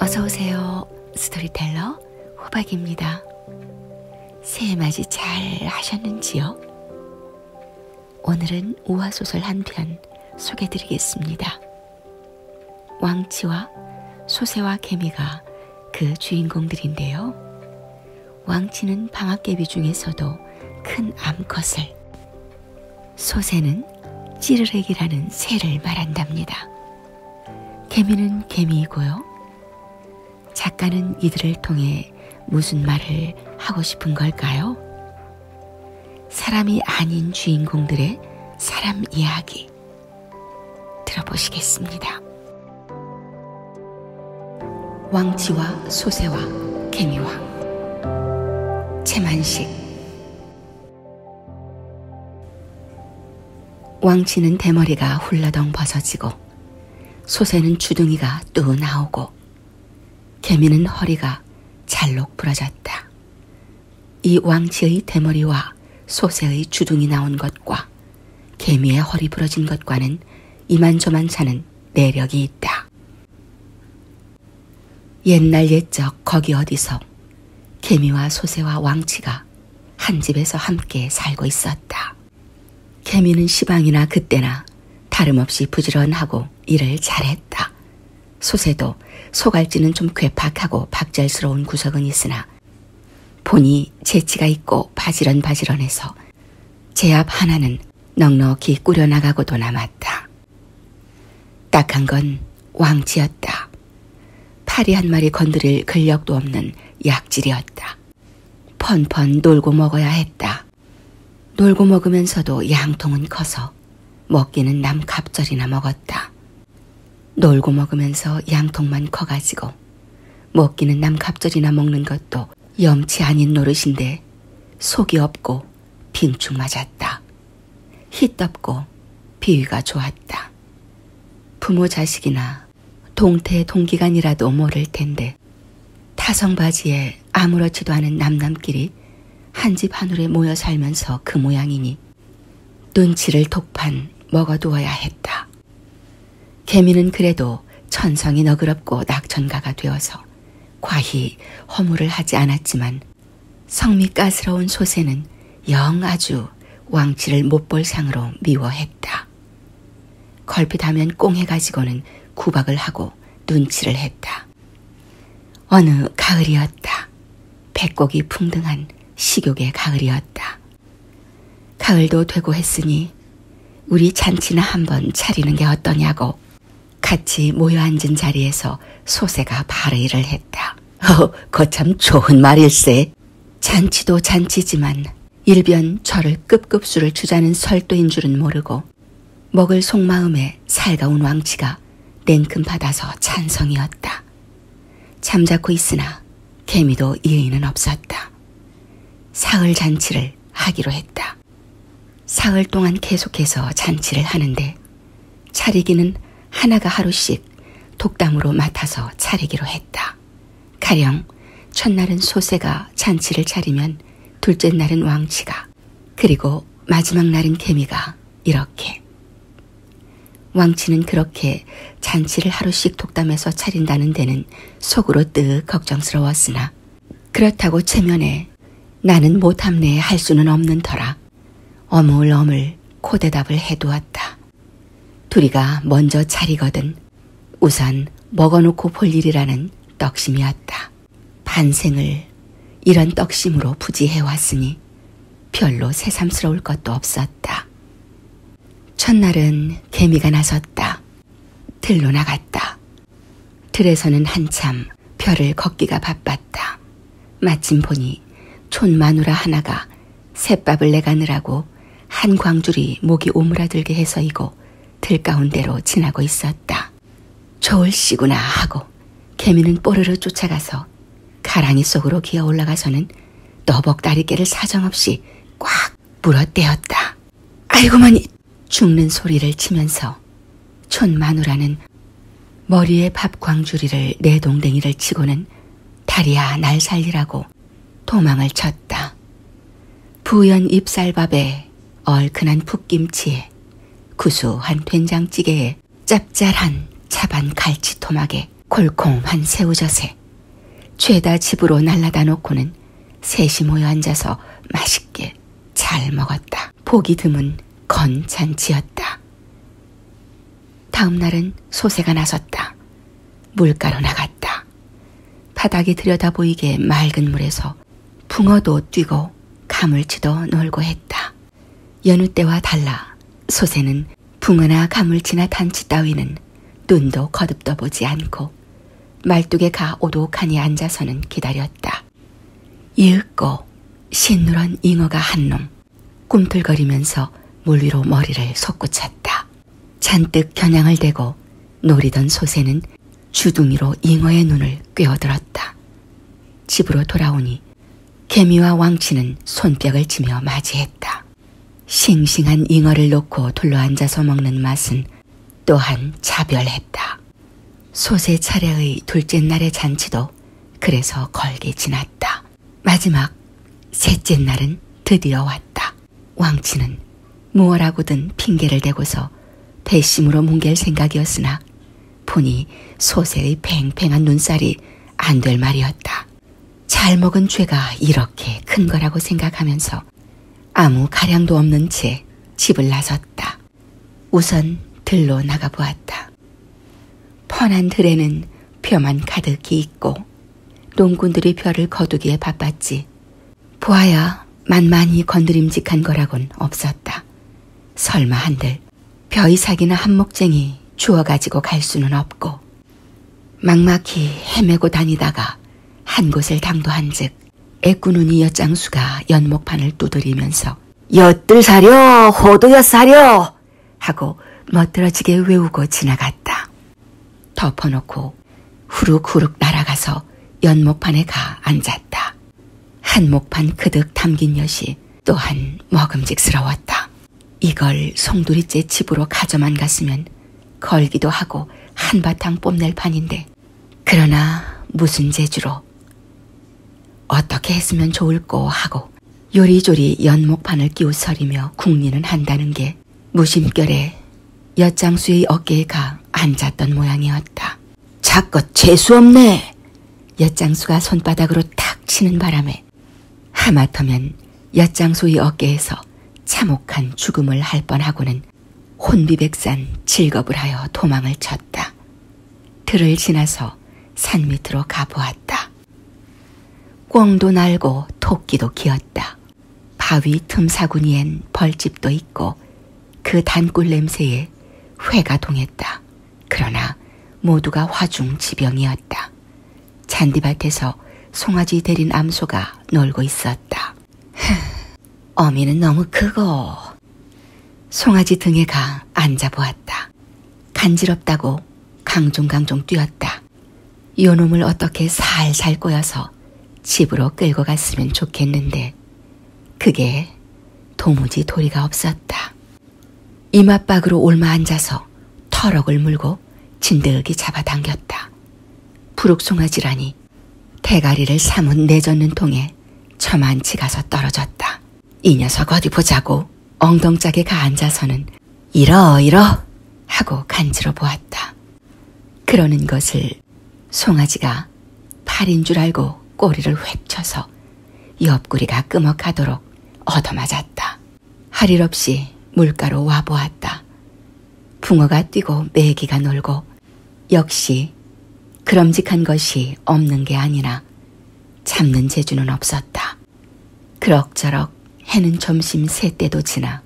어서 오세요. 스토리텔러 호박입니다. 새해 맞이 잘 하셨는지요? 오늘은 우화소설 한편 소개드리겠습니다. 왕치와 소새와 개미가 그 주인공들인데요. 왕치는 방아깨비 중에서도 큰 암컷을, 소새는 찌르렉이라는 새를 말한답니다. 개미는 개미이고요. 작가는 이들을 통해 무슨 말을 하고 싶은 걸까요? 사람이 아닌 주인공들의 사람 이야기 들어보시겠습니다. 왕치와 소세와 개미와 채만식 왕치는 대머리가 홀라덩 벗어지고 소세는 주둥이가 또 나오고 개미는 허리가 잘록 부러졌다. 이 왕치의 대머리와 소세의 주둥이 나온 것과 개미의 허리 부러진 것과는 이만저만 사는 내력이 있다. 옛날 옛적 거기 어디서 개미와 소새와 왕치가 한 집에서 함께 살고 있었다. 개미는 시방이나 그때나 다름없이 부지런하고 일을 잘했다. 소새도 소갈지는 좀 괴팍하고 박잘스러운 구석은 있으나 보니 재치가 있고 바지런바지런해서 제압 하나는 넉넉히 꾸려나가고도 남았다. 딱한 건 왕치였다. 파리 한 마리 건드릴 근력도 없는 약질이었다. 펀펀 놀고 먹어야 했다. 놀고 먹으면서도 양통은 커서 먹기는 남 갑절이나 먹었다. 놀고 먹으면서 양통만 커가지고 못 끼는 남 갑절이나 먹는 것도 염치 아닌 노릇인데 속이 없고 빈축 맞았다. 희답고 비위가 좋았다. 부모 자식이나 동태 동기간이라도 모를 텐데 타성바지에 아무렇지도 않은 남남끼리 한 집 한울에 모여 살면서 그 모양이니 눈치를 독판 먹어두어야 했다. 개미는 그래도 천성이 너그럽고 낙천가가 되어서 과히 허물을 하지 않았지만 성미까스러운 소세는 영 아주 왕치를 못 볼 상으로 미워했다. 걸핏하면 꽁해 가지고는 구박을 하고 눈치를 했다. 어느 가을이었다. 백곡이 풍등한 식욕의 가을이었다. 가을도 되고 했으니 우리 잔치나 한번 차리는 게 어떠냐고 같이 모여 앉은 자리에서 소세가 발의를 했다. 어, 거참 좋은 말일세. 잔치도 잔치지만 일변 저를 급급수를 주자는 설도인 줄은 모르고 먹을 속마음에 살가운 왕치가 냉큼 받아서 찬성이었다. 잠자코 있으나 개미도 예의는 없었다. 사흘 잔치를 하기로 했다. 사흘 동안 계속해서 잔치를 하는데 차리기는 하나가 하루씩 독담으로 맡아서 차리기로 했다. 가령 첫날은 소새가 잔치를 차리면 둘째 날은 왕치가 그리고 마지막 날은 개미가 이렇게 왕치는 그렇게 잔치를 하루씩 독담해서 차린다는 데는 속으로 뜨 걱정스러웠으나 그렇다고 체면에 나는 못함내에 할 수는 없는 터라 어물어물 코대답을 해두었다. 둘이가 먼저 차리거든 우선 먹어놓고 볼 일이라는 떡심이었다. 반생을 이런 떡심으로 부지해왔으니 별로 새삼스러울 것도 없었다. 첫날은 개미가 나섰다. 들로 나갔다. 들에서는 한참 별을 걷기가 바빴다. 마침 보니 촌마누라 하나가 새밥을 내가느라고 한 광줄이 목이 오므라들게 해서이고 들 가운데로 지나고 있었다. 저울 씨구나 하고 개미는 뽀르르 쫓아가서 가랑이 속으로 기어 올라가서는 너벅다리개를 사정없이 꽉 물어떼었다. 아이고머니! 죽는 소리를 치면서 촌마누라는 머리에 밥광주리를 내 동댕이를 치고는 다리야 날 살리라고 도망을 쳤다. 부연 잎쌀밥에 얼큰한 풋김치에 구수한 된장찌개에 짭짤한 차반 갈치토막에 콜콩한 새우젓에 죄다 집으로 날라다 놓고는 셋이 모여 앉아서 맛있게 잘 먹었다. 보기 드문 건 잔치였다. 다음 날은 소세가 나섰다. 물가로 나갔다. 바닥이 들여다 보이게 맑은 물에서 붕어도 뛰고 가물치도 놀고 했다. 여느 때와 달라 소세는 붕어나 가물치나 단치 따위는 눈도 거듭떠 보지 않고 말뚝에 가 오독하니 앉아서는 기다렸다. 이윽고 신누런 잉어가 한 놈 꿈틀거리면서 물 위로 머리를 솟구쳤다. 잔뜩 겨냥을 대고 노리던 소새는 주둥이로 잉어의 눈을 꿰어들었다. 집으로 돌아오니 개미와 왕치는 손뼉을 치며 맞이했다. 싱싱한 잉어를 놓고 둘러앉아서 먹는 맛은 또한 차별했다. 소세 차례의 둘째 날의 잔치도 그래서 걸게 지났다. 마지막 셋째 날은 드디어 왔다. 왕치는 무엇하고든 핑계를 대고서 배심으로 뭉갤 생각이었으나 보니 소세의 팽팽한 눈살이 안 될 말이었다. 잘 먹은 죄가 이렇게 큰 거라고 생각하면서 아무 가량도 없는 채 집을 나섰다. 우선 들로 나가보았다. 펀한 들에는 벼만 가득히 있고 농군들이 벼를 거두기에 바빴지. 보아야 만만히 건드림직한 거라곤 없었다. 설마 한들 벼이삭이나 한목쟁이 주워 가지고 갈 수는 없고 막막히 헤매고 다니다가 한 곳을 당도한 즉 애꾸눈이 엿장수가 연목판을 두드리면서 엿들 사려 호두엿 사려 하고 멋들어지게 외우고 지나갔다. 덮어놓고 후룩후룩 날아가서 연목판에 가 앉았다. 한목판 그득 담긴 엿이 또한 먹음직스러웠다. 이걸 송두리째 집으로 가져만 갔으면 걸기도 하고 한바탕 뽐낼 판인데 그러나 무슨 재주로 어떻게 했으면 좋을꼬 하고 요리조리 연목판을 끼우서리며 궁리는 한다는 게 무심결에 엿장수의 어깨에 가 앉았던 모양이었다. 자껏 재수없네! 엿장수가 손바닥으로 탁 치는 바람에 때 하마터면 엿장소의 어깨에서 참혹한 죽음을 할 뻔하고는 혼비백산 질겁을 하여 도망을 쳤다. 들을 지나서 산 밑으로 가보았다. 꿩도 날고 토끼도 기었다. 바위 틈사구니엔 벌집도 있고 그 단꿀 냄새에 회가 동했다. 그러나 모두가 화중지병이었다. 잔디밭에서 송아지 데린 암소가 놀고 있었다. 어미는 너무 크고 송아지 등에 가 앉아보았다. 간지럽다고 강종강종 뛰었다. 요놈을 어떻게 살살 꼬여서 집으로 끌고 갔으면 좋겠는데 그게 도무지 도리가 없었다. 이마박으로 올마 앉아서 터럭을 물고 진득이 잡아당겼다. 부룩송아지라니 대가리를 사뭇 내젓는 통에 처만치 가서 떨어졌다. 이 녀석 어디 보자고 엉덩짝에 가앉아서는 이러 이러 하고 간지러 보았다. 그러는 것을 송아지가 팔인 줄 알고 꼬리를 획 쳐서 옆구리가 끄먹하도록 얻어맞았다. 할일 없이 물가로 와보았다. 붕어가 뛰고 메기가 놀고 역시 그럼직한 것이 없는 게 아니라 참는 재주는 없었다. 그럭저럭 해는 점심 세 때도 지나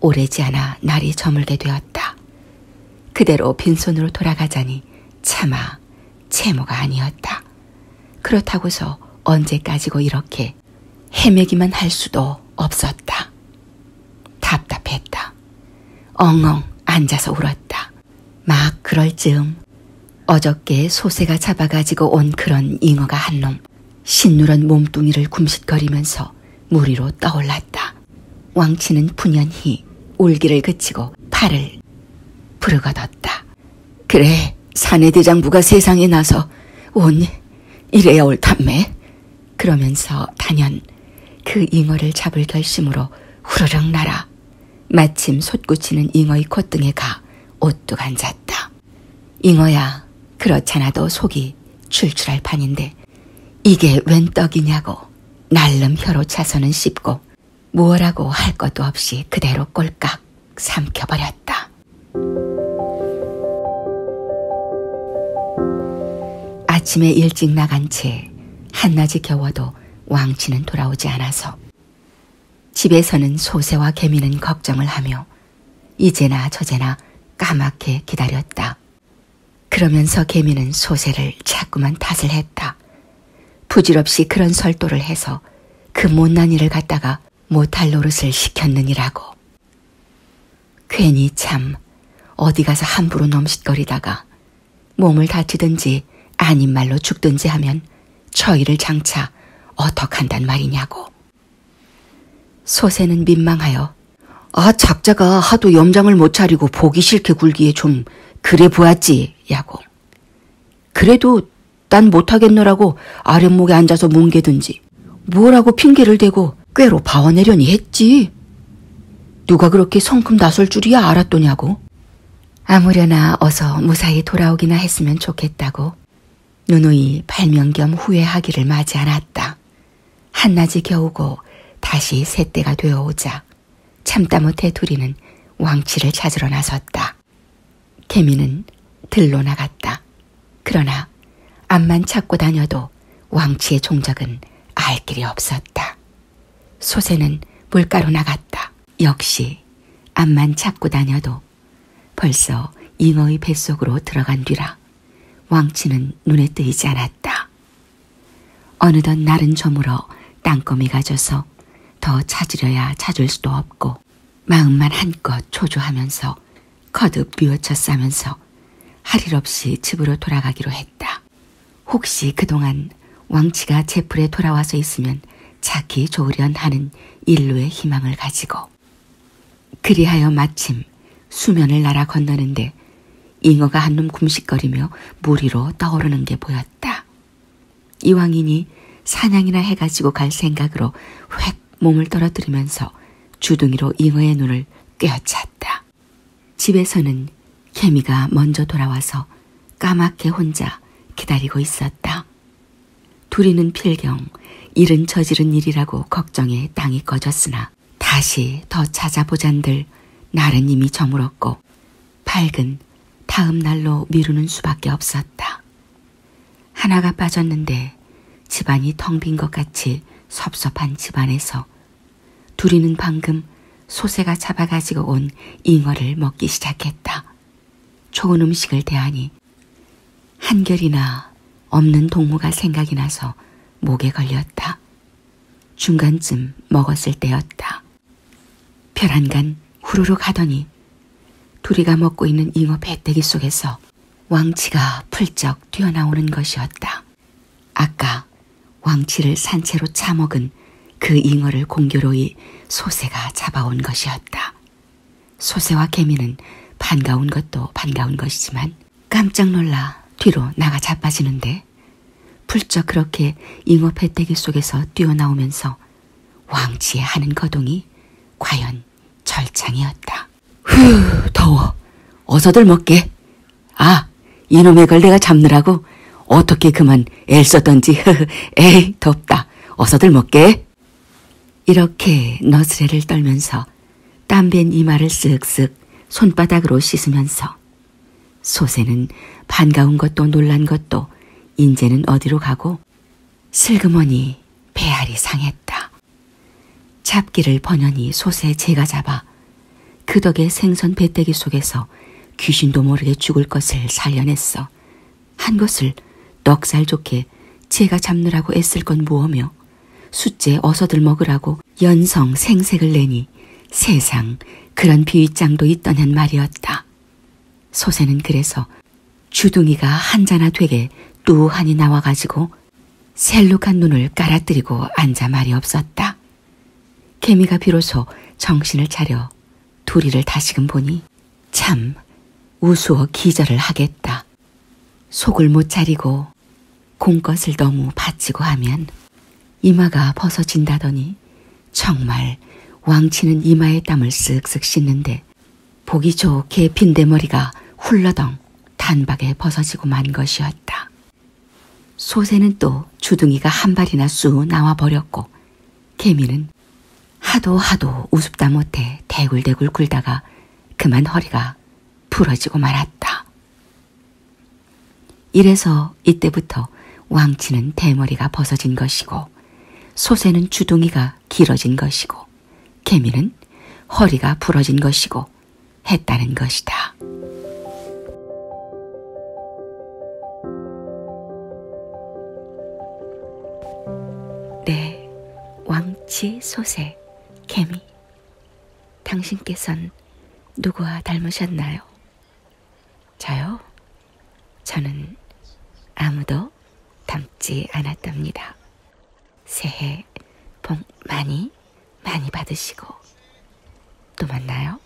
오래지 않아 날이 저물게 되었다. 그대로 빈손으로 돌아가자니 차마 아니라 채모가 아니었다. 그렇다고서 언제까지고 이렇게 헤매기만 할 수도 없었다. 답답했다. 엉엉 앉아서 울었다. 막 그럴 즈음 어저께 소새가 잡아가지고 온 그런 잉어가 한 놈 신누런 몸뚱이를 굼싯거리면서 무리로 떠올랐다. 왕치는 분연히 울기를 그치고 팔을 부르거뒀다. 그래, 사내 대장부가 세상에 나서 온 이래야 옳단매. 그러면서 단연 그 잉어를 잡을 결심으로 후루룩 날아 마침 솟구치는 잉어의 콧등에 가 오뚝 앉았다. 잉어야, 그렇잖아도 속이 출출할 판인데 이게 웬 떡이냐고 날름 혀로 차서는 씹고 뭐라고 할 것도 없이 그대로 꼴깍 삼켜버렸다. 아침에 일찍 나간 채 한낮이 겨워도 왕치는 돌아오지 않아서 집에서는 소새와 개미는 걱정을 하며 이제나 저제나 까맣게 기다렸다. 그러면서 개미는 소새를 자꾸만 탓을 했다. 부질없이 그런 설도를 해서 그 못난 일을 갖다가 못할 노릇을 시켰느니라고. 괜히 참 어디 가서 함부로 넘짓거리다가 몸을 다치든지 아닌 말로 죽든지 하면 처의를 장차 어떡한단 말이냐고. 소세는 민망하여 아 작자가 하도 염장을 못 차리고 보기 싫게 굴기에 좀 그래 보았지 야고. 그래도 난 못하겠노라고 아랫목에 앉아서 뭉개든지 뭐라고 핑계를 대고 꾀로 봐와내려니 했지. 누가 그렇게 성큼 나설 줄이야 알았더냐고. 아무려나 어서 무사히 돌아오기나 했으면 좋겠다고 누누이 발명 겸 후회하기를 마지 않았다. 한낮이 겨우고 다시 새때가 되어오자 참다 못해 둘이는 왕치를 찾으러 나섰다. 개미는 들로 나갔다. 그러나 앞만 찾고 다녀도 왕치의 종적은 알 길이 없었다. 소새는 물가로 나갔다. 역시 앞만 찾고 다녀도 벌써 잉어의 뱃속으로 들어간 뒤라 왕치는 눈에 뜨이지 않았다. 어느덧 날은 저물어 땅거미가 져서 더 찾으려야 찾을 수도 없고 마음만 한껏 초조하면서 거듭 비워쳐 싸면서 할 일 없이 집으로 돌아가기로 했다. 혹시 그동안 왕치가 제풀에 돌아와서 있으면 자기 좋으련 하는 일루의 희망을 가지고 그리하여 마침 수면을 날아 건너는데 잉어가 한놈 굼식거리며 무리로 떠오르는 게 보였다. 이왕이니 사냥이나 해가지고 갈 생각으로 획 몸을 떨어뜨리면서 주둥이로 잉어의 눈을 꿰어찼다. 집에서는 케미가 먼저 돌아와서 까맣게 혼자 기다리고 있었다. 둘이는 필경, 일은 저지른 일이라고 걱정에 땅이 꺼졌으나 다시 더 찾아보잔들 날은 이미 저물었고 밝은 다음 날로 미루는 수밖에 없었다. 하나가 빠졌는데 집안이 텅 빈 것 같이 섭섭한 집안에서 둘이는 방금 소새가 잡아가지고 온 잉어를 먹기 시작했다. 좋은 음식을 대하니 한결이나 없는 동무가 생각이 나서 목에 걸렸다. 중간쯤 먹었을 때였다. 벼란간 후루룩 하더니 둘이가 먹고 있는 잉어 배때기 속에서 왕치가 풀쩍 뛰어나오는 것이었다. 아까 왕치를 산채로 차먹은 그 잉어를 공교로이 소새가 잡아온 것이었다. 소새와 개미는 반가운 것도 반가운 것이지만 깜짝 놀라 뒤로 나가 자빠지는데 때 풀쩍 그렇게 잉어 패대기 속에서 뛰어나오면서 왕지에 하는 거동이 과연 절창이었다. 휴, 더워. 어서들 먹게. 아, 이놈의 걸 내가 잡느라고 어떻게 그만 엘 썼던지. 에이, 덥다. 어서들 먹게. 이렇게 너스레를 떨면서 땀밴 이마를 쓱쓱 손바닥으로 씻으면서 소세는 반가운 것도 놀란 것도 인제는 어디로 가고 슬그머니 배알이 상했다. 잡기를 번연히 소세 제가 잡아 그 덕에 생선 배때기 속에서 귀신도 모르게 죽을 것을 살려냈어. 한 것을 넉살 좋게 제가 잡느라고 애쓸 건 무엇며 숫제 어서들 먹으라고 연성 생색을 내니 보니 세상 그런 비위장도 있더냔 말이었다. 소세는 그래서 주둥이가 한자나 되게 뚜하니 나와가지고 셀룩한 눈을 깔아뜨리고 앉아 말이 없었다. 개미가 비로소 정신을 차려 둘이를 다시금 보니 참 우스워 기절을 하겠다. 속을 못 차리고 공것을 너무 바치고 하면 이마가 벗어진다더니 정말 왕치는 이마에 땀을 쓱쓱 씻는데 보기 좋게 빈대머리가 훌러덩 단박에 벗어지고 만 것이었다. 소새는 또 주둥이가 한 발이나 쑥 나와버렸고 개미는 하도 하도 우습다 못해 대굴대굴 굴다가 그만 허리가 부러지고 말았다. 이래서 이때부터 왕치는 대머리가 벗어진 것이고 소새는 주둥이가 길어진 것이고 개미는 허리가 부러진 것이고 했다는 것이다. 네, 왕치, 소새, 개미. 당신께선 누구와 닮으셨나요? 저요? 저는 아무도 닮지 않았답니다. 새해 복 많이 많이 받으시고 또 만나요.